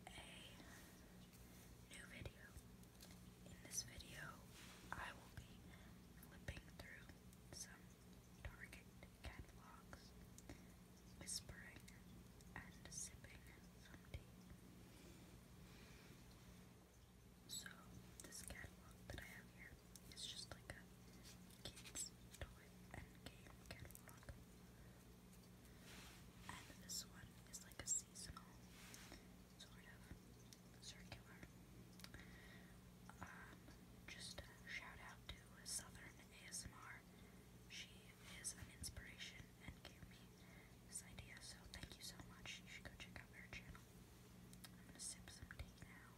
a new video. In this video, I will be flipping through some Target catalogs, whispering, and sipping some tea. So, this catalog that I have here is just like a kids' toy and game catalog. And this one is like a seasonal sort of circular. Um, just shout out to Southern ASMR. She is an inspiration and gave me this idea, so thank you so much. You should go check out her channel. I'm gonna sip some tea now.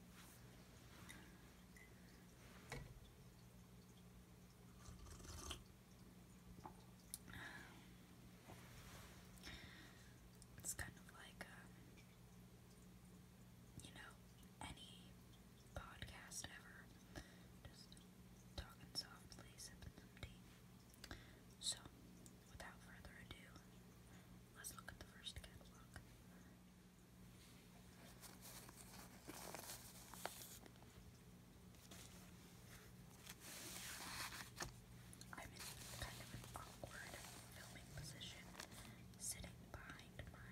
It's kind of like, um, you know, any podcast ever. Just talking softly, sipping some tea. So, without further ado, let's look at the first catalog. I'm in kind of an awkward filming position, sitting behind my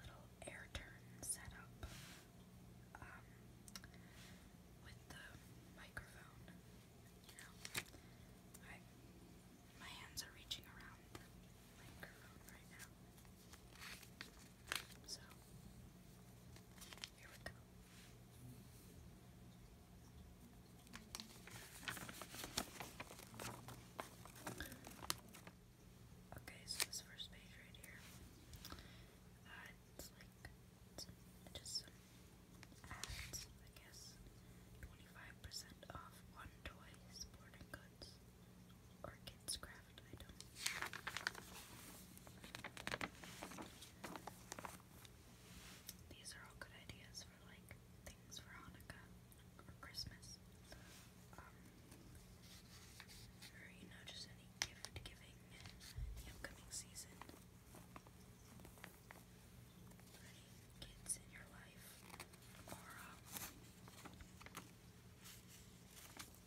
little air turn setup um, with the microphone. You know, my hands are reaching around the microphone right now. So, here we go. Okay, so this first page right here, uh, it's like, just some ads, I guess, 25% off one toy, sporting goods, or kids' crafts that These are all good ideas for like things for Hanukkah or Christmas. Um, or you know, just any gift giving the upcoming season. For any kids in your life um,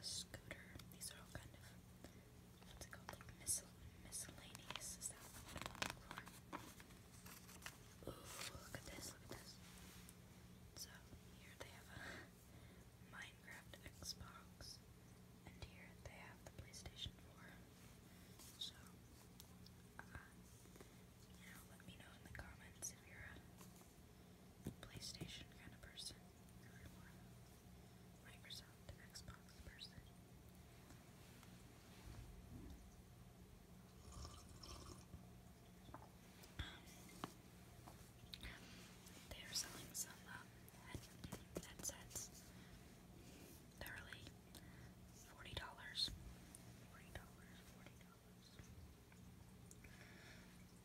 a scooter. These are all kind of what's it called? Like mis miscellaneous. Is that what I'm looking for? Ooh, look at this, look at this. So here they have a Minecraft Xbox. And here they have the PlayStation 4. So uh, you know, let me know in the comments if you're a PlayStation kind of person, Microsoft Xbox person. They are selling some um, headsets. They're really Forty dollars.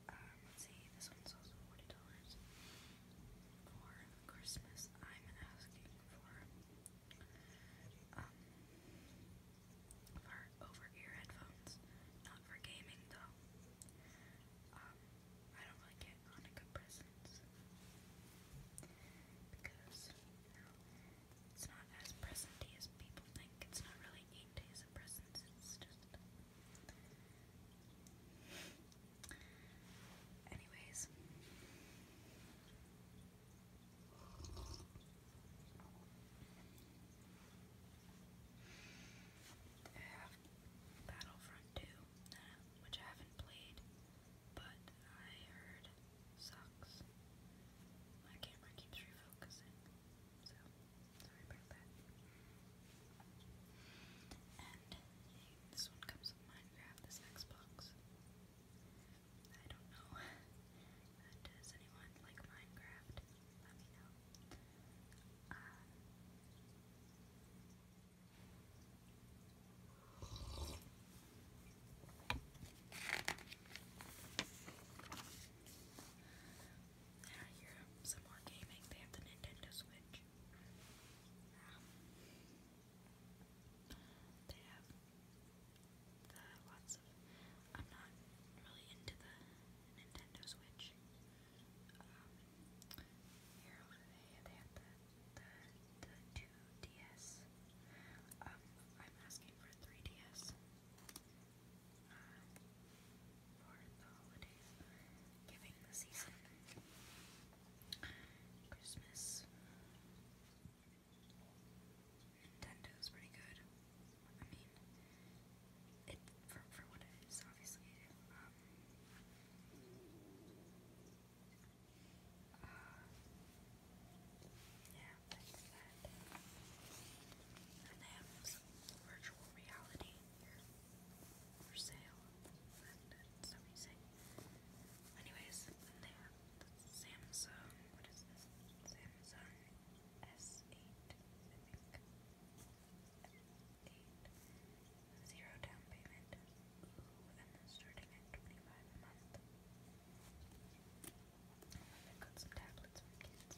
Um, let's see, this one's also $40. For Christmas, I'm asking for, um, for over-ear headphones. Not for gaming, though. Um, I don't really get Hanukkah presents. Because, you know, it's not as presenty as people think. It's not really eight days of presents, it's just Anyways. I have Battlefront 2, which I haven't played, but I heard sucks. My camera keeps refocusing, so Sorry about And this one comes with Minecraft, this Xbox. I don't know. does anyone like Minecraft? Let me know. And I some more gaming. They have the Nintendo Switch. they have lots of. I'm not really into the Nintendo Switch. they have the the the two DS. Um, I'm asking for three DS for the holidays, giving the season, Christmas. Nintendo's pretty good. I mean, it for for what it is, obviously. Um, uh, yeah, that. And they have some virtual reality here for sale. Anyways, they have the Samsung. What is this? Samsung S8, down payment. Ooh, and then starting at 25 a month. I've got some tablets for kids.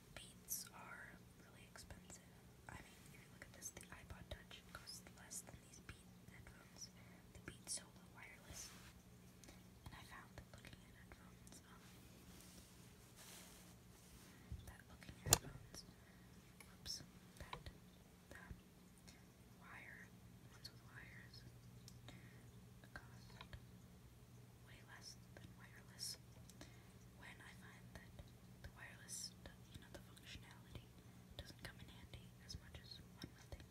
Beats are really expensive. I mean, if you look at this, the iPod Touch costs less than these Beats headphones. The Beat Solo wireless. And I found that looking at headphones, um, that looking at headphones, oops, that, that wire, ones with wires, cost way less than wireless when I find that the wireless, you know, the functionality doesn't come in handy as much as one would think.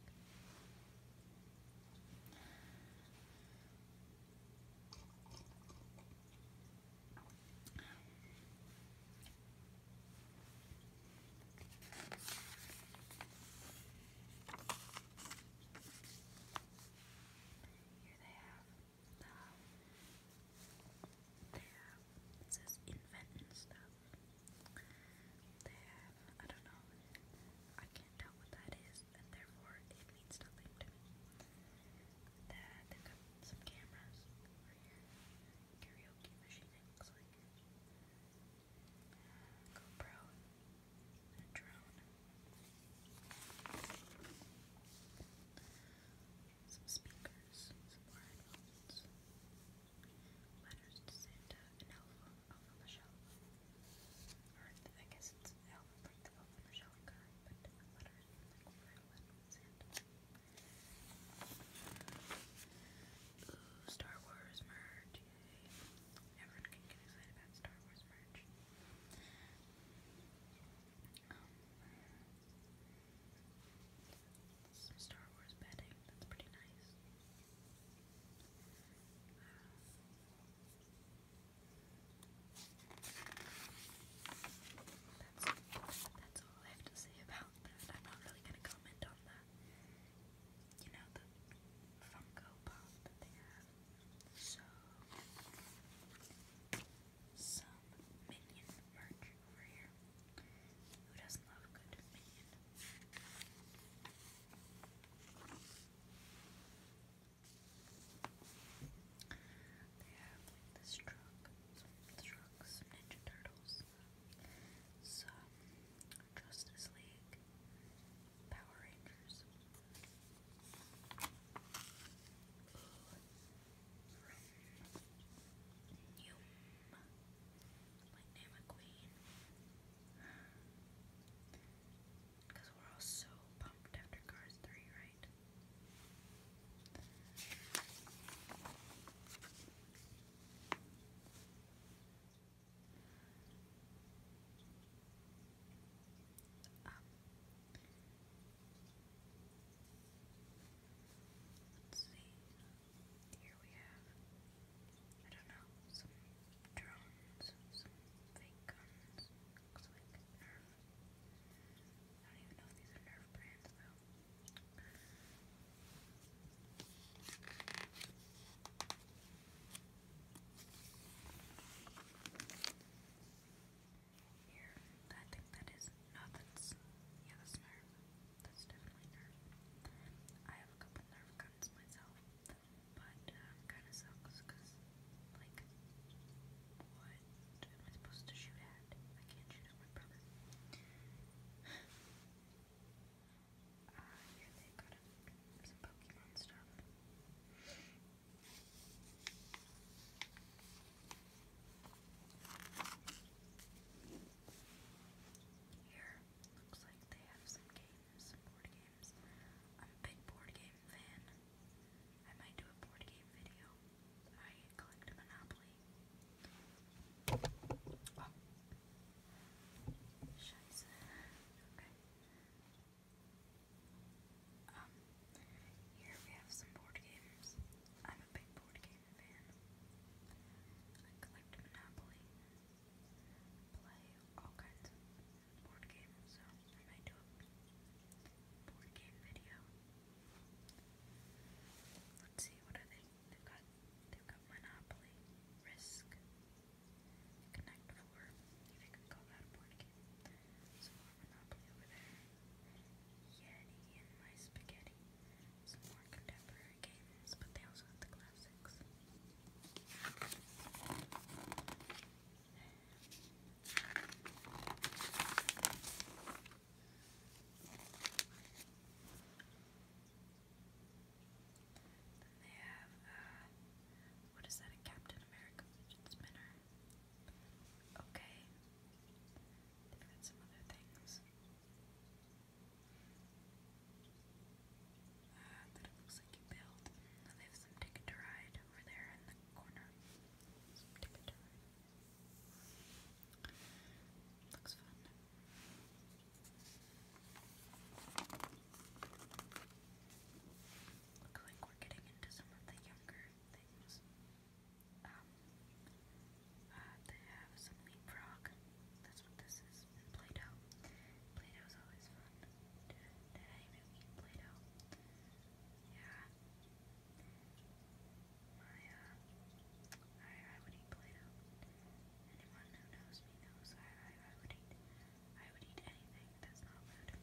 Here they have um, they have, it says invent and stuff. They have, I don't know, I can't tell what that is, and therefore it means nothing to me. That they've some cameras karaoke machine, it looks like. GoPro, and drone some speakers, some more headphones, letters to Santa, an album on the shelf. Or I guess it's an on the shelf guy, but letters like Santa. Ooh, Star Wars merch. Everyone can get excited about Star Wars merch. Star Wars bedding, that's pretty nice. that's, that's all I have to say about that. I'm not really going to comment on the, you know, the Funko Pop they have. So, some minion merch over here. Who doesn't love good minion? They have like this truck, some trucks, Ninja Turtles, some Justice League, Power Rangers. Yum. Like name a queen. Because we're all so pumped after Cars 3, right? Let's see. Here we have, I don't know, some drones, some fake guns. Looks like Nerf. I don't even know if these are Nerf brands though here. I think that is no, yeah, that's nerve. That's definitely nerve. I have a couple nerve guns myself, but um, kind of sucks because, like, what am I supposed to shoot at? I can't shoot at my brother. Ah, uh, yeah, they got a, some Pokemon stuff. Here, looks like they have some games, some board games. I'm a big board game fan. I might do a board game video. I collect a Monopoly. Oh. Scheiße. Okay. Um, here we have some board games. I'm a big board game fan. I collect Monopoly, play all kinds of board games, so I do a board game video. Let's see, what I think. They've got, they've got Monopoly, Risk, Connect Four. If you can call that a board game. Monopoly over there. Yeti and My Spaghetti. Some more contemporary games, but they also have the classics. Then they have, uh, what is that, a Captain America Spinner? Okay, They've got some other things. that looks like you build. they have some ticket to ride over there in the corner. ticket to ride. Looks fun. Looks like we're getting into some of the younger things. Um, uh, they have some leapfrog. That's what this is. Play-Doh. Play-Doh is always fun. Did, I even eat Play-Doh? Yeah. My, I, would eat Play-Doh. Anyone who knows me knows I, would eat, I would eat anything that's not food.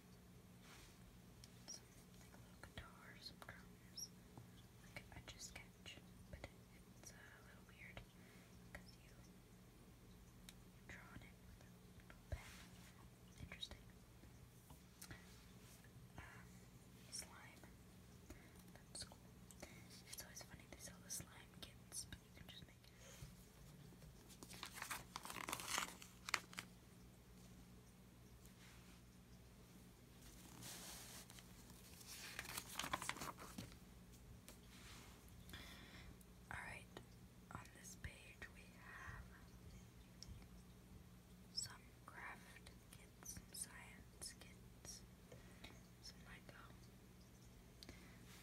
some like little guitar, some drums, like a just sketch, but it's a little weird because you, draw it with a little pen. Interesting. Um, slime. That's cool. It's always funny they sell the slime kits, but you can just make it. Alright, on this page we have some craft kits, science kits, some Lego.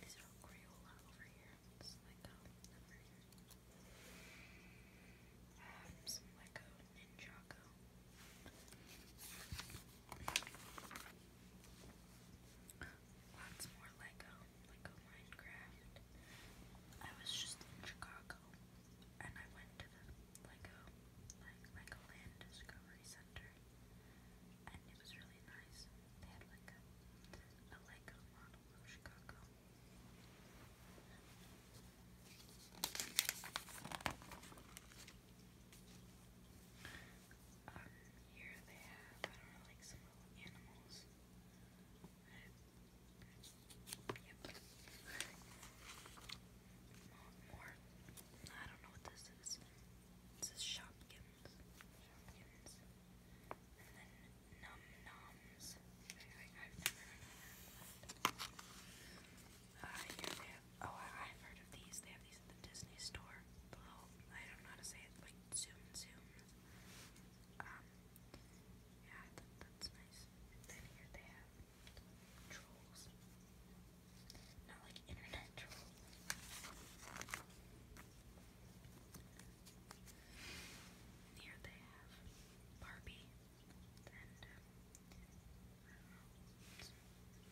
These are Crayola over here. Lego um, some Lots more Lego, Lego Minecraft. I was just in Chicago and I went to the Lego, like Legoland Discovery Center and it was really nice. They had like a Lego model of Chicago. Um, here they have, I don't know, like some little animals. Yep. More. I don't know what this is. This is Shopkins. Shopkins. Num Noms. I, I've never heard of that. Uh, here they have, oh, I, I've heard of these. They have these at the Disney store. The little, I don't know how to say it, like Zoom Zoom. Um, yeah, that, that's nice. And then here they have trolls. Not like internet trolls. Here they have Barbie and um,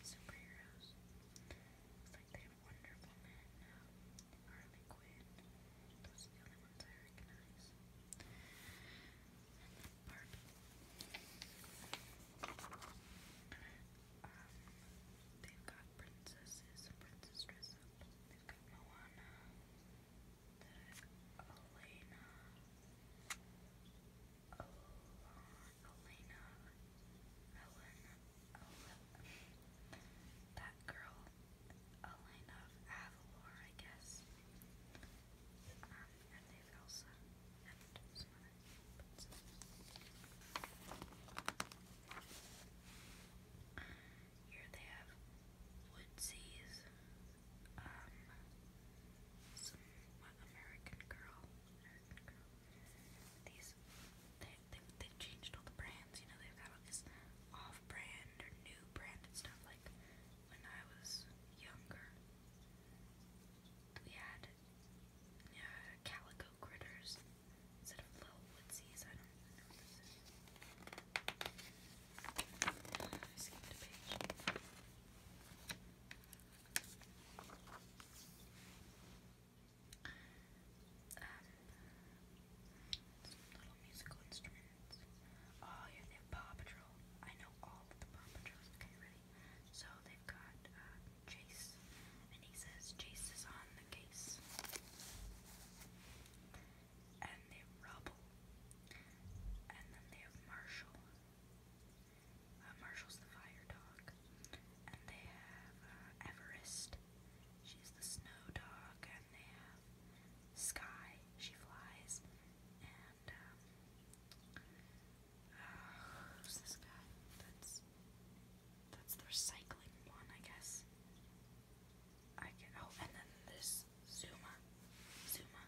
superheroes. It's like they have Wonder Woman, Harley Quinn. Those are the only ones I recognize. they've got princesses princess dress up. They've got Moana. Elena, Elena, Helen, that girl, Elena Avalor, I guess. Um, and they and here they have Woodsies, um, some American Girl, these, they, they, changed all the brands, you know, they've got all this off-brand or new branded stuff, like, when I was younger, we had uh, Calico Critters instead of Little Woodsies, I don't know this I skipped little musical instruments. Oh yeah, they have Paw Patrol. I know all the Paw Patrols. Okay, ready? So they've got uh, Chase, and he says Chase is on the case and they have Rubble, and then they have Marshall. Uh, Marshall's the fire dog, and they have uh, Everest. She's the snow dog, and they have Sky. She flies, and um, uh, who's this guy? That's that's the recycling one, I guess. I can. Oh, and then this Zuma. Zuma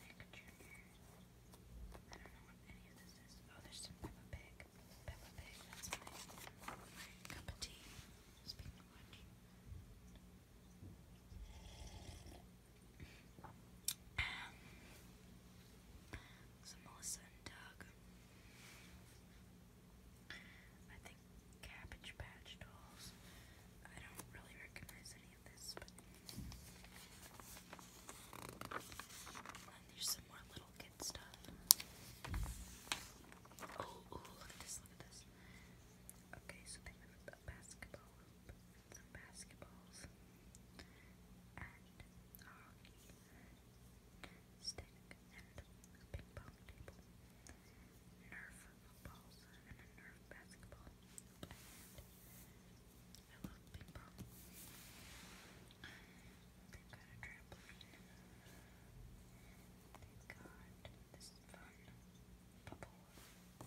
Nick Jr. I don't know what any of this is. Oh, there's some Peppa Pig. Peppa Pig, that's my, cup of tea. Speaking of which. Um, so and Doug. I think Cabbage Patch Dolls. I don't really recognize any of this, there's some more little kid stuff. Oh, oh, look at this, a basketball hoop, some basketballs, and a stick, and a ping pong table, Nerf footballs, and a Nerf basketball, I love ping they got a trampoline. They've got this fun bubble,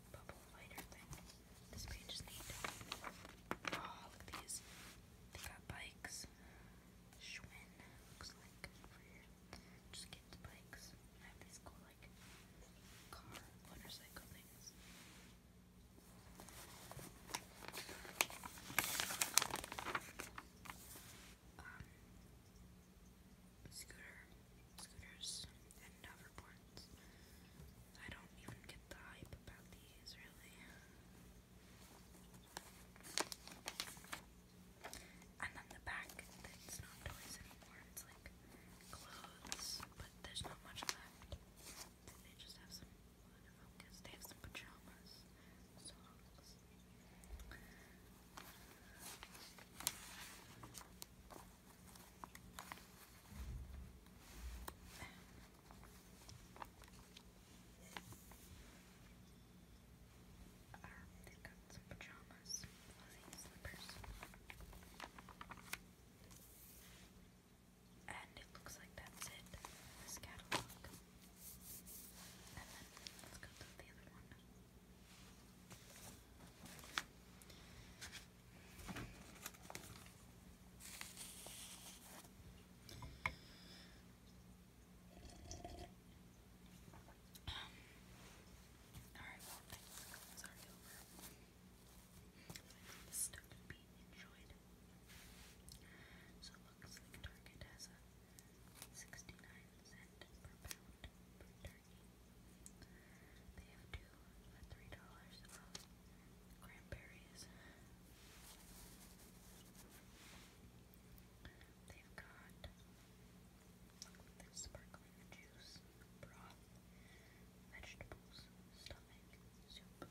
bubble lighter thing. This page is neat. Oh, look these. They got bikes. Schwinn looks like over here. Just bikes. I have these cool like car motorcycle things. Um, scooter, scooters, and hoverboards. I don't even get the hype about these, really. And then the back, it's not toys anymore, it's like clothes, but there's not much of that left. And they just have some, well, in focus, they have some pajamas, socks. Um, they've got some pajamas, fuzzy slippers. And and it looks like that's it, this catalog. And then let's go to the other one. Um, Alright, well, the stuff to be enjoyed. So it looks like Target has a 69 cent per pound per turkey. They have two for three dollars of cranberries. They've got there's sparkling juice broth, vegetables, stomach, soup.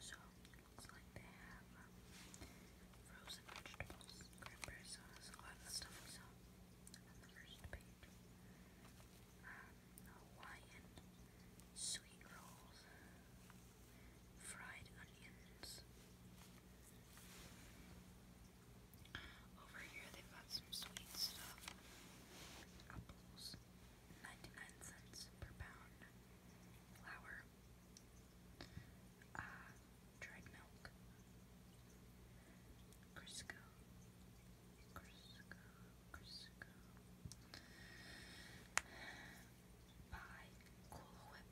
So, looks like they have um, frozen vegetables, cranberry sauce, a lot of stuff on the first page. Um, Hawaiian sweet rolls, fried onions. Over here they've got some sweet stuff. Apples, 99 cents per pound. Flour, uh, dried milk, Crisco, Crisco, Crisco by Cool Whip.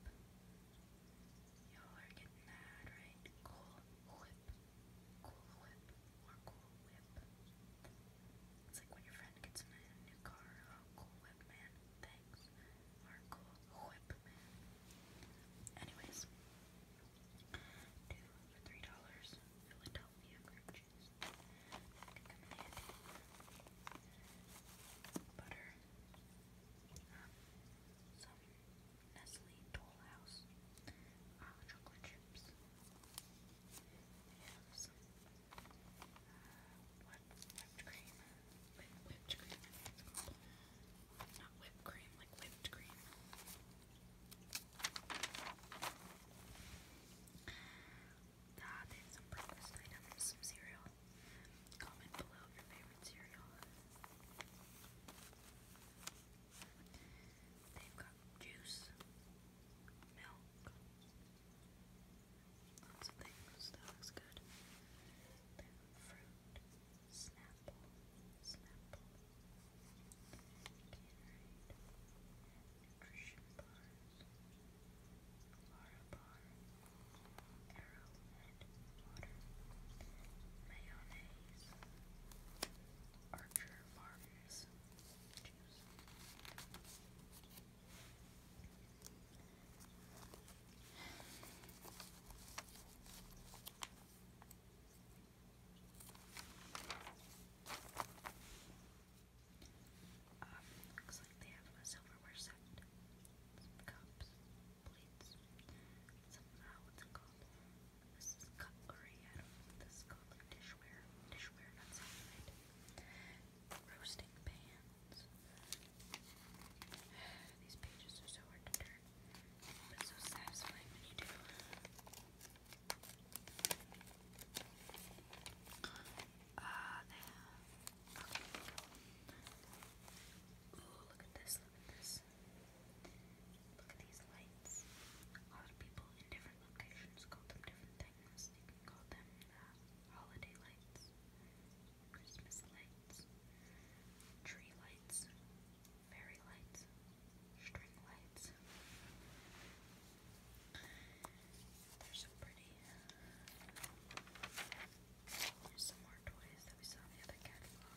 Y'all are getting mad, right? Cool Whip. Cool Whip. Or Cool Whip. It's like when your friend gets a new car. Oh, cool Whip, man. Thanks. Or Cool Whip, man. Anyways. Two for three dollars. Philadelphia cream cheese. That could butter, um, some Nestle Toll uh, chocolate chips, and some uh, whipped cream, not whipped cream, like whipped cream. Ah, they have some breakfast items, some cereal. Comment below your favorite cereal. They've got juice, milk, lots of things. That looks good. They've got fruit, Snapple, Snapple, Gatorade, nutrition bars. Aurobar, Arrowhead Water, Mayonnaise, Archer Farms Juice. Alright, um, looks like they have silverware set. cups, plates, some, uh, what's it This is cutlery, I don't know this is called, dishware. Dishware, not Roasting pans. These pages are so hard to turn, but so satisfying when you do. Ah, Okay. Ooh, look at this, look at these lights. A lot of people in different locations call them different things. You can call them holiday lights, Christmas lights, tree lights, fairy lights, string lights they some more toys that we saw in the other catalog.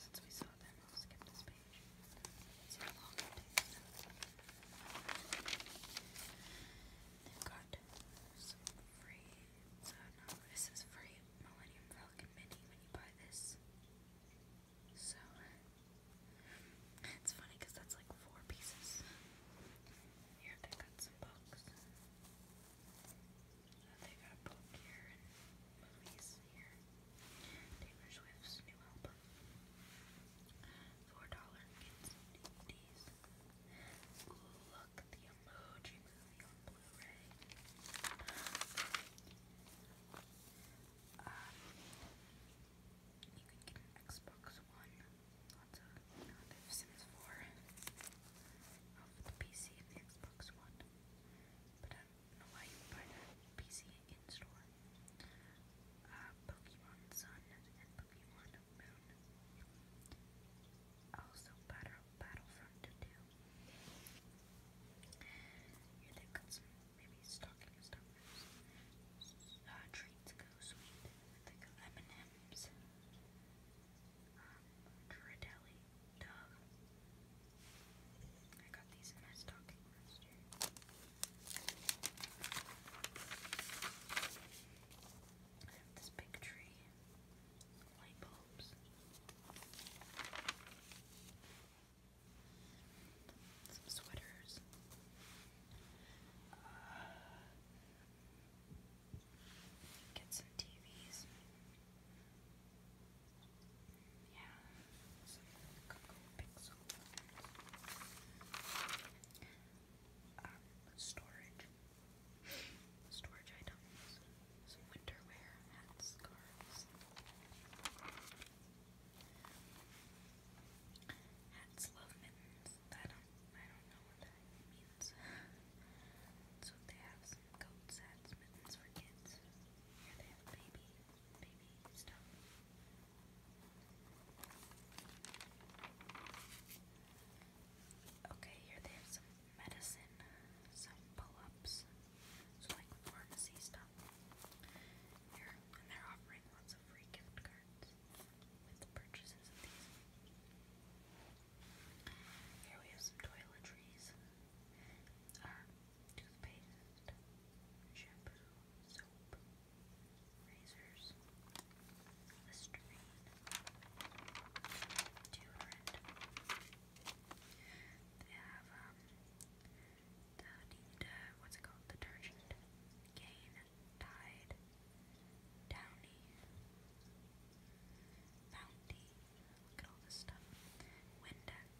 Since we saw them, I'll skip this page. they got some free, so uh, no, this is free Millennium Falcon Mini when you buy this. So, it's funny because that's like four pieces. Here they got some books. They got a book here and movies here. Taylor new album. Four dollar kids DVDs. Look, the emoji movie on Blu-ray. Um, you can get an Xbox One Lots of you Sims 4 of the PC and the Xbox One. But I don't know why you buy that PC in store. Uh, Pokemon Sun and Pokemon Moon. Also Battle Battlefront 2. Here they've got some maybe stocking stuffers. Uh, treats go sweet. They M&M's um, Credelli I got these in my stocking last year. this big tree, light bulbs. Some sweaters. Uh, Get some TVs. Yeah, some Google Pixel um, uh, storage. Storage items. Some winter wear, hats, scarves. Hats love mittens. I don't, I don't know what that means. so they have some goat's hat mittens for kids. Here they have baby, baby stuff. Okay, here they have some medicine, some pull-ups, so like pharmacy stuff. Here, and they're offering lots of free gift cards with purchases of these. Here we have some toiletries, our toothpaste, shampoo, soap, razors, Listerine, deodorant. They have um, the what's it called, detergent, Gain, Tide, Downy, Bounty, look at all this stuff, Windex,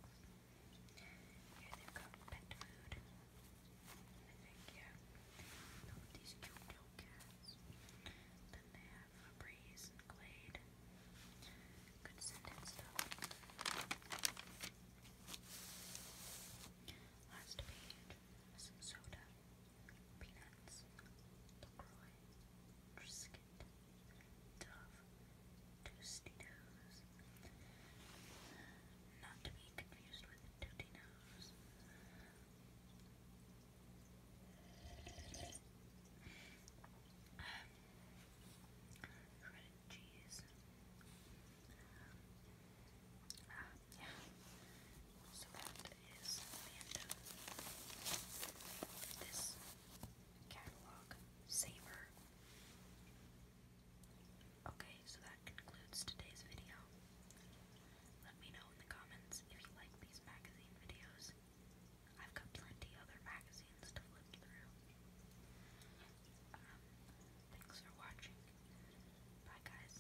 here they've got pet food, I think, yeah, these cute little cats, then they have Febreze and Glade, good scented stuff. Last page, soda. Peanuts, LaCroix, Triscuit, Dove, Toasty Nose, not to be confused with Tooty Nose. Um, shredded cheese. Um, uh, yeah. So that is Fandom. This catalog saver. Okay, so that concludes today's video. Let me know in the comments if you like these magazine videos. I've got plenty other magazines to flip through. Um, thanks for watching. Bye, guys.